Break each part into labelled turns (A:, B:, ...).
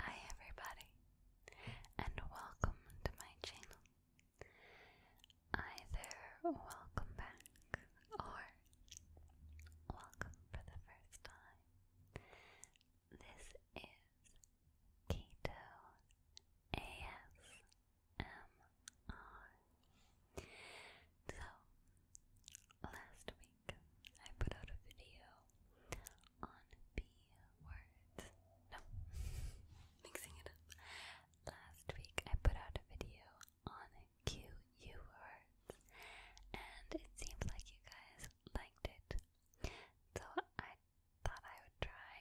A: Hi everybody, and welcome to my channel. Either welcome back or welcome for the first time. This is Keto ASMR. So, last week I put out a video on the words. No, mixing it up. Last week I put out a video on QU words, and it seemed like you guys liked it. So I thought I would try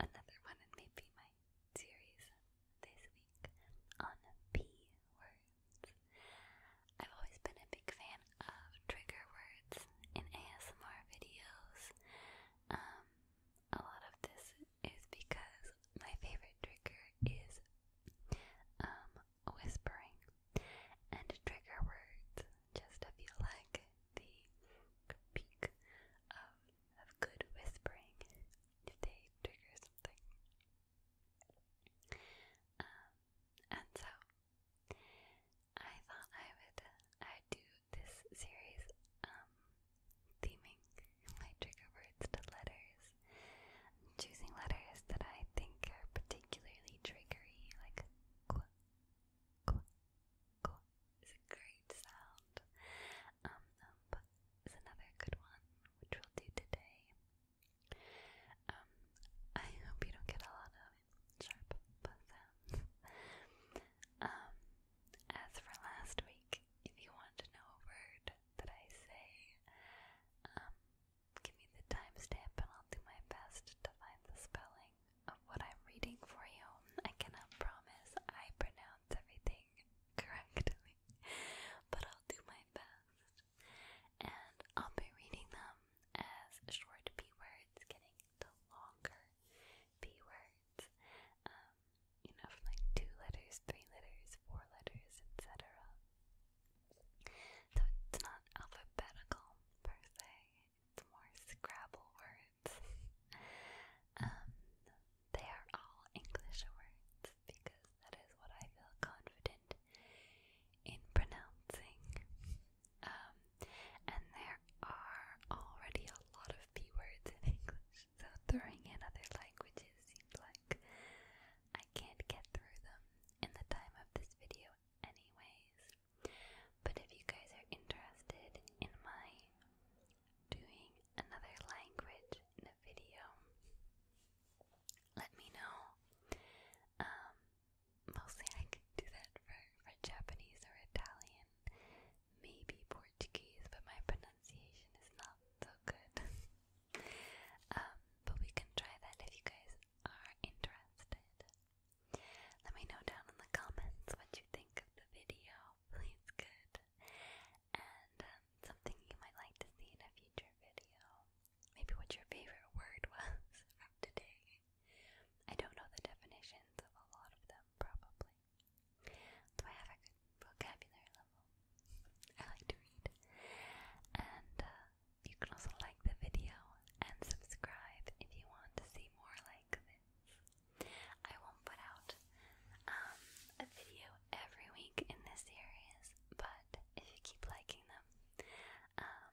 A: another one and maybe my series this week on P words. I've always been a big fan of trigger words in ASMR videos. Um, a lot of this is because my favorite trigger is um, whispering and trigger words just feel like the peak of, good whispering if they trigger something. Um, and so I thought I would do this series um, theming trigger words to letters, choosing letters that I think are particularly triggery, like qu, is a great sound. Um, um, is another good one, which we'll do today. Um, I hope you don't get a lot of sharp um, as for last week, if you want to know a word that I say, um, give me the timestamp and I'll do my best to find the spelling of what I'm reading for you. I cannot promise I pronounce everything correctly, but I'll do my best and I'll be reading them as short b words, getting into longer b words, um, you know, from like two letters, three letters, four letters, etc. So it's not alphabetical per se, it's more Scrabble words. Um, they are all English words because that is what I feel confident in pronouncing. Um, and there are already a lot of keywords in English, so throwing in other languages seems like I can't get through them in the time of this video, anyways. But if you guys are interested in my doing another language in a video, let me know. Um, mostly I can do that for, for Japanese or Italian, maybe Portuguese, but my pronunciation is not so good. Um, but we can try that if you guys are interested. Let me know down in the comments what you think of the video, please good. And um, something you might like to see in a future video maybe what your favorite word was today. I don't know the definitions of a lot of them, probably. So I have a good vocabulary level. I like to read. And uh, you can also like the video and subscribe if you want to see more like this. I won't put out um, a video every week in this series, but if you keep liking them, um,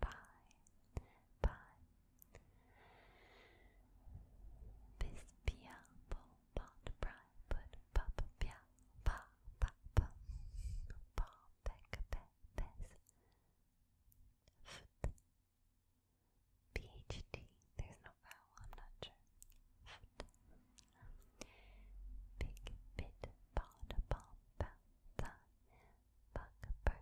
A: Bye. Bye. Bis pia po pot pry put pop pia pa pa pa pa peck pe pes foot PhD there's no vowel I'm not sure foot big bit pod bomb bounce Bugaboo.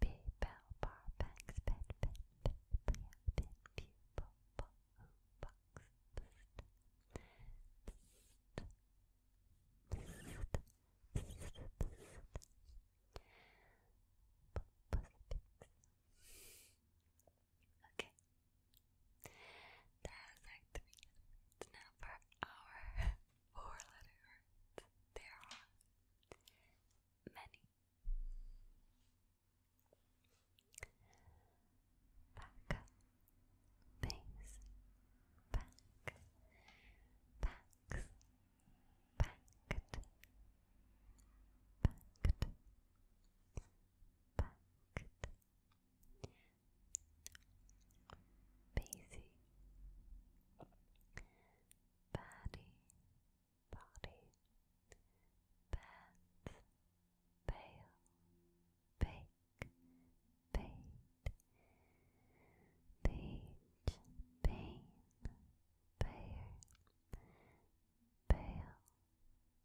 A: Big bell bar bangs, bed, bed, bed, play, bin, pew, bo, bo, who, box, pst, pst, pst, pst, pst, pst. Okay, that's like the beginning words. four letter words, there are many. Back, face, back, backs, packed, packed, packed, Basie, Paddy, Body, Bats, Pale, Bake, Bait, Page, Pain, Payer, Pale,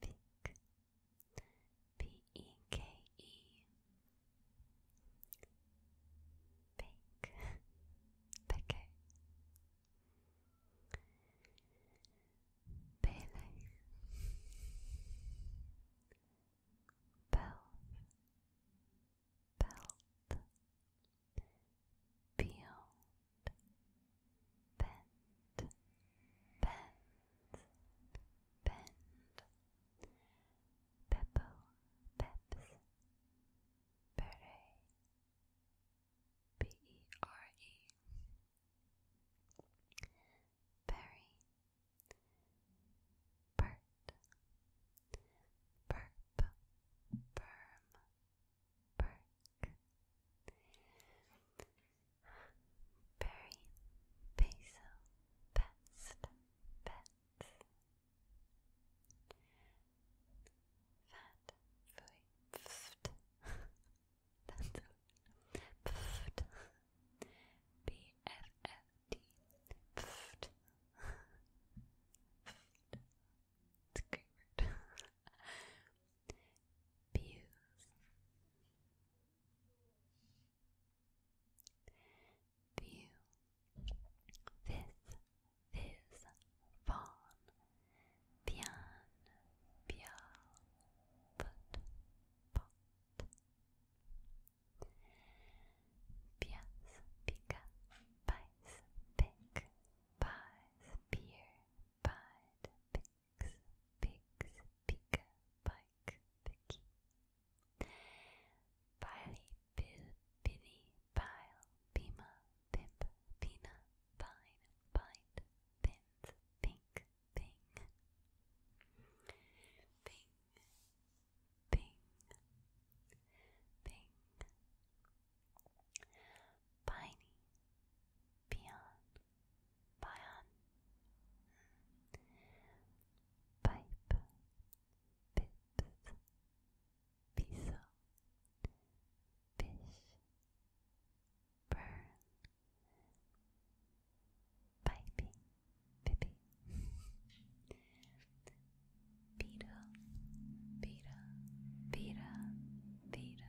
A: Peak. P E K E. Bake. Beke. Bailey. Belt. Peel bend, bend, bend. Peppo, peps, beret, B-E-R-E. Berry, Bert, burp, berm, Burke. Barry Basil Best Pets Fat Fui Pft That's a Pft It's a great word views. View. This is van bien bial pot pot. Bias pica pies pick pies beer pied pigs, pika, pike, picky. Piley, pill, pinny, pile, pima, pimp, pina, pine, pint, pins, pink, ping. Ping, ping, ping piney, peon, pion, pipe, pit, piso, fish, burn, pipey, pippy, beetle, beetle, beetle, beetle.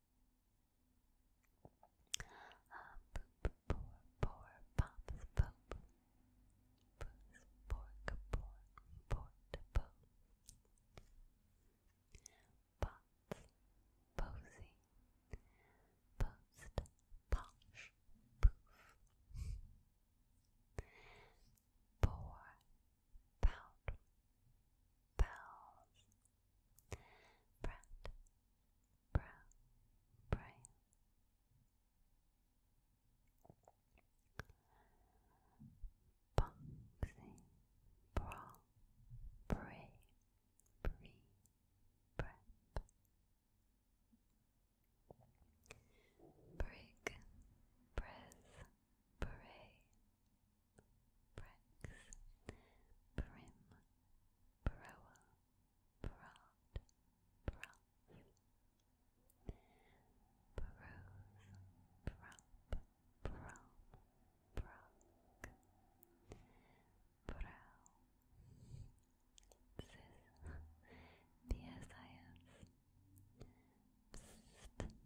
A: Uh, poop, pour, pour, pops, poop. Poos, pork, pork, port, po. Pots, posy. Post, posh, poof. Pour, pout. Pals, Brad, Bra, Brian. Boxing, Brawl, Bray, Bree, Prep. Brig, Prez, Beret, Bricks, Prim, Broa, Brad, Brath, Brose, Brap, Bram, Brack, Brow, Sis, B-S-I-S,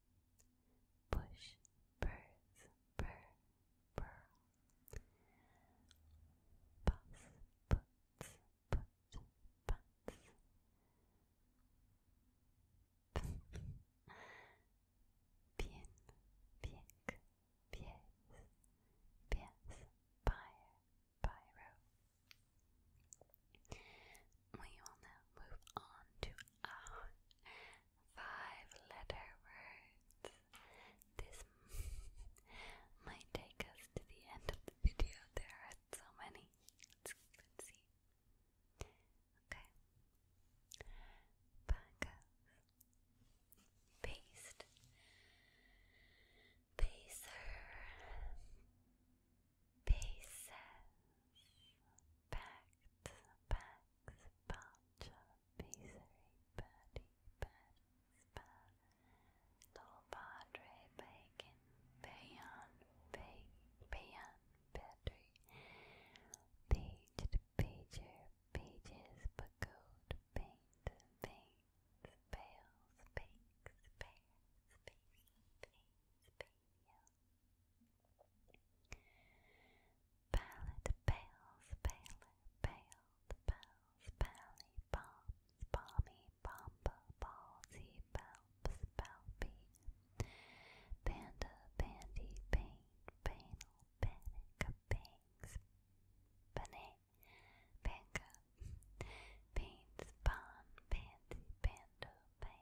A: Bush, birds, bird, bird, Bus, puts, put, butts. bien, piek, pies, pies, pyre, pyro. We will now move on to five letter words. This might take us to the end of the video. There are so many. Let's, see. Okay. Back up. Paste pieces, packed, packs, parcha, pizzery, patty, patty, spa, little padre, bacon, payan, payan, battery, paged, pager, pages, pagoda, paint, paint, pails, pinks, pears, paints, paints, you. Pallet, pails, paler, paled, pals, pally, bombs, balmy, bomba, ballsy, palps, palpy. Panda, bandy, pain, panel, panic, bangs, banay, banka, paints, bon, panty, panda, pan.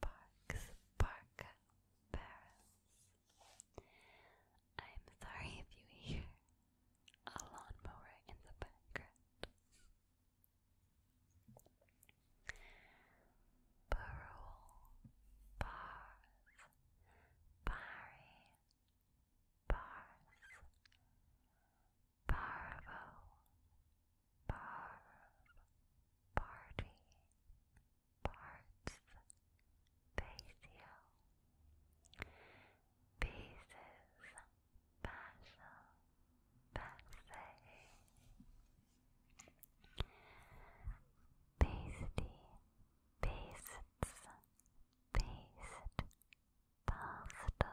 A: Parks Park, Paris. I'm sorry if you hear a lawnmower in the background. Parole, bars, Paris, bars, Parvo, Parv, Party, Parts, Basio, Pieces, Passion, Passe, Pasty, Pastes, Paste, Pasta,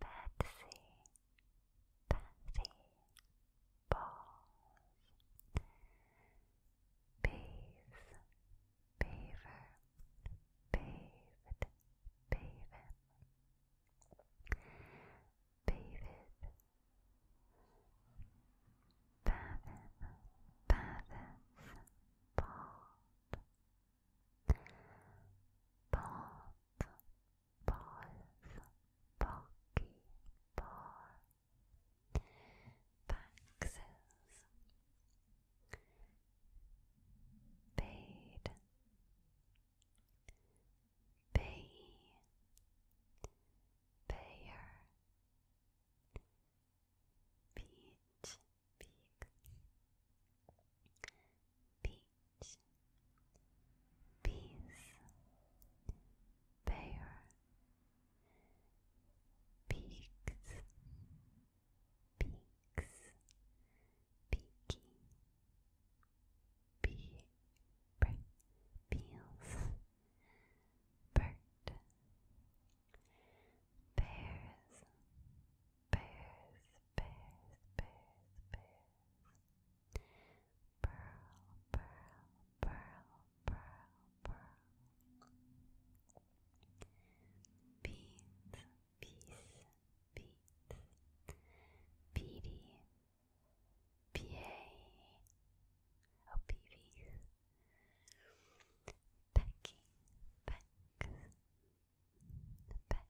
A: Pepsi, Pepsi balls, bees, beaver, bathed, baven, bathed, bathing, bathers, bald. Bald, balls, bulky, bar, boxes, paid, pay, payer, beach, peak peach, peace, pear, peaks, peaks, peaky, pea, per, peels, bird, bears, bears, bears, bears, bears. Pearl, pearl, pearl, pearl, pearl. Beans, peace, beats. Beady, PA, oh, PV. Pecking, pecks, Pex,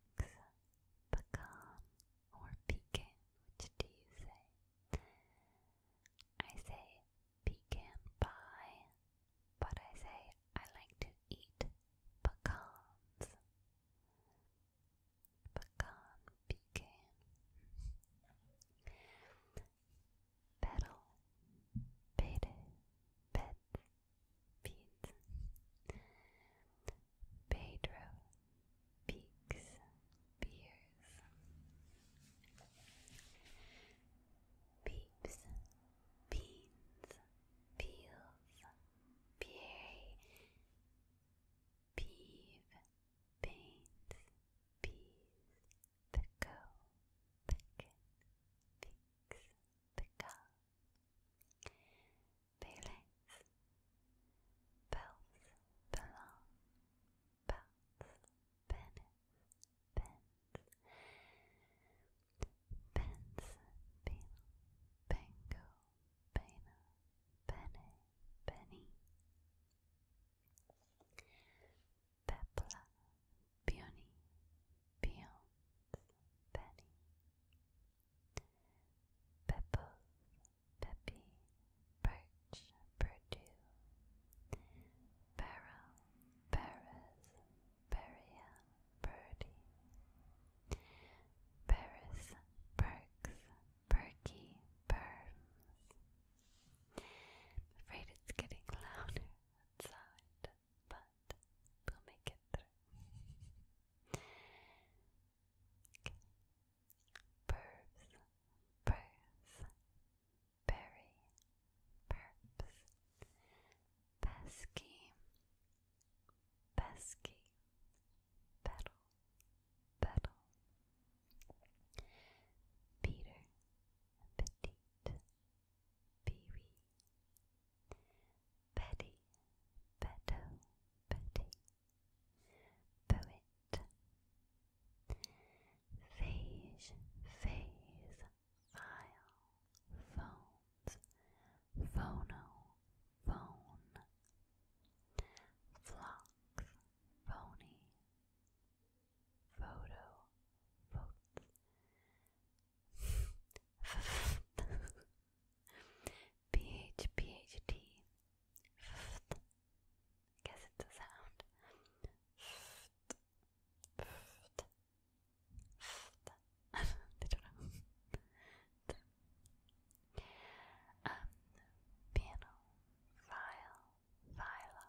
A: pecan, or pecan, which do you say? I say pecan pie, but I say I like to eat pecans. Pecan, pecan. Petal, beta, pet, Pete Pedro Peaks Beers Peeps Beans Peels Pierre Peeve Paint Peas Pico Pickin Peaks Pickle feelings. Bells belong. Bells, penis, pins. Pins, penal, bingo, pena, penny, Pebbles, Peppy, Perch, perdu, Barrel, Paris, Beria, Birdie, Paris, Perks, Perky, Perms. afraid it's getting louder outside but we'll make it through. okay. Pervs, berry, perps, pesky, pesky, petal, petal. Peter, petite, peewee, Betty, Beto, Betty, Poet, Phage, Phase, File, Phones, Phono, Phone, Flocks, Phony, Photo, Votes. PH, PHD. I guess it's a sound. they don't know. piano, file, viola,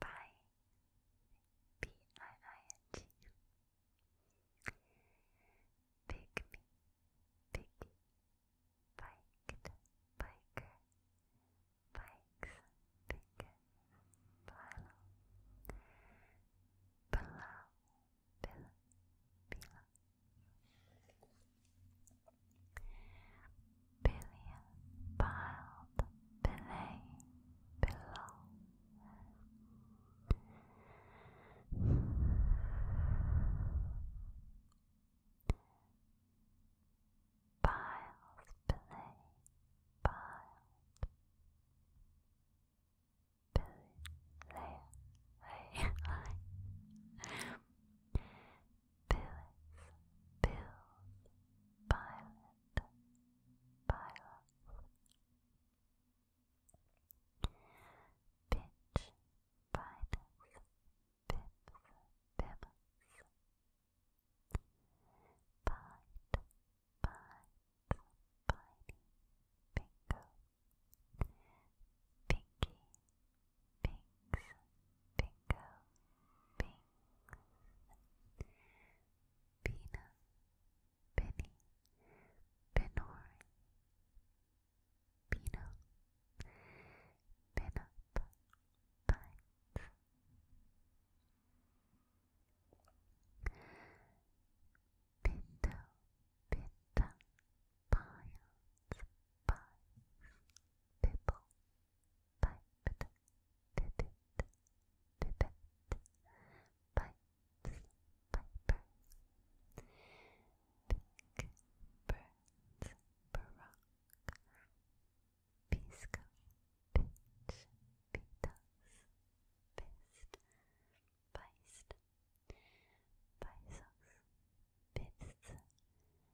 A: Bye. B I I N G. Pick me, picky, biked, bikes, picket, pile, pillow, pillow billion piled below. below. Piles below, piled below, below. Billis, Bills, Pilot, Pilots. Pitch, Pitus, Pips, Pimmels. Pint, Pint, Piney, Bingo. Pinky, Pinks, Bingo, Pink. Pina, Penny, Benori, Pina, Pinup, Pines. Pinto, Pinta, Piles, Pines, Pipple, piped, did it, did it, pipes, piper. Big birds, baroque, pisco, pitch, pitos, pist, pist, pisos, pists,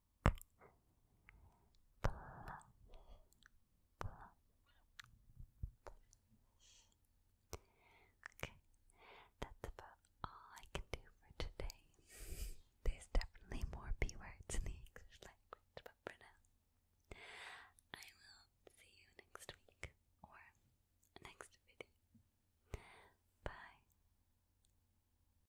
A: Okay, that's about all I can do for today. There's definitely more B words in the English language, but for now, I will see you next week or next video. Bye.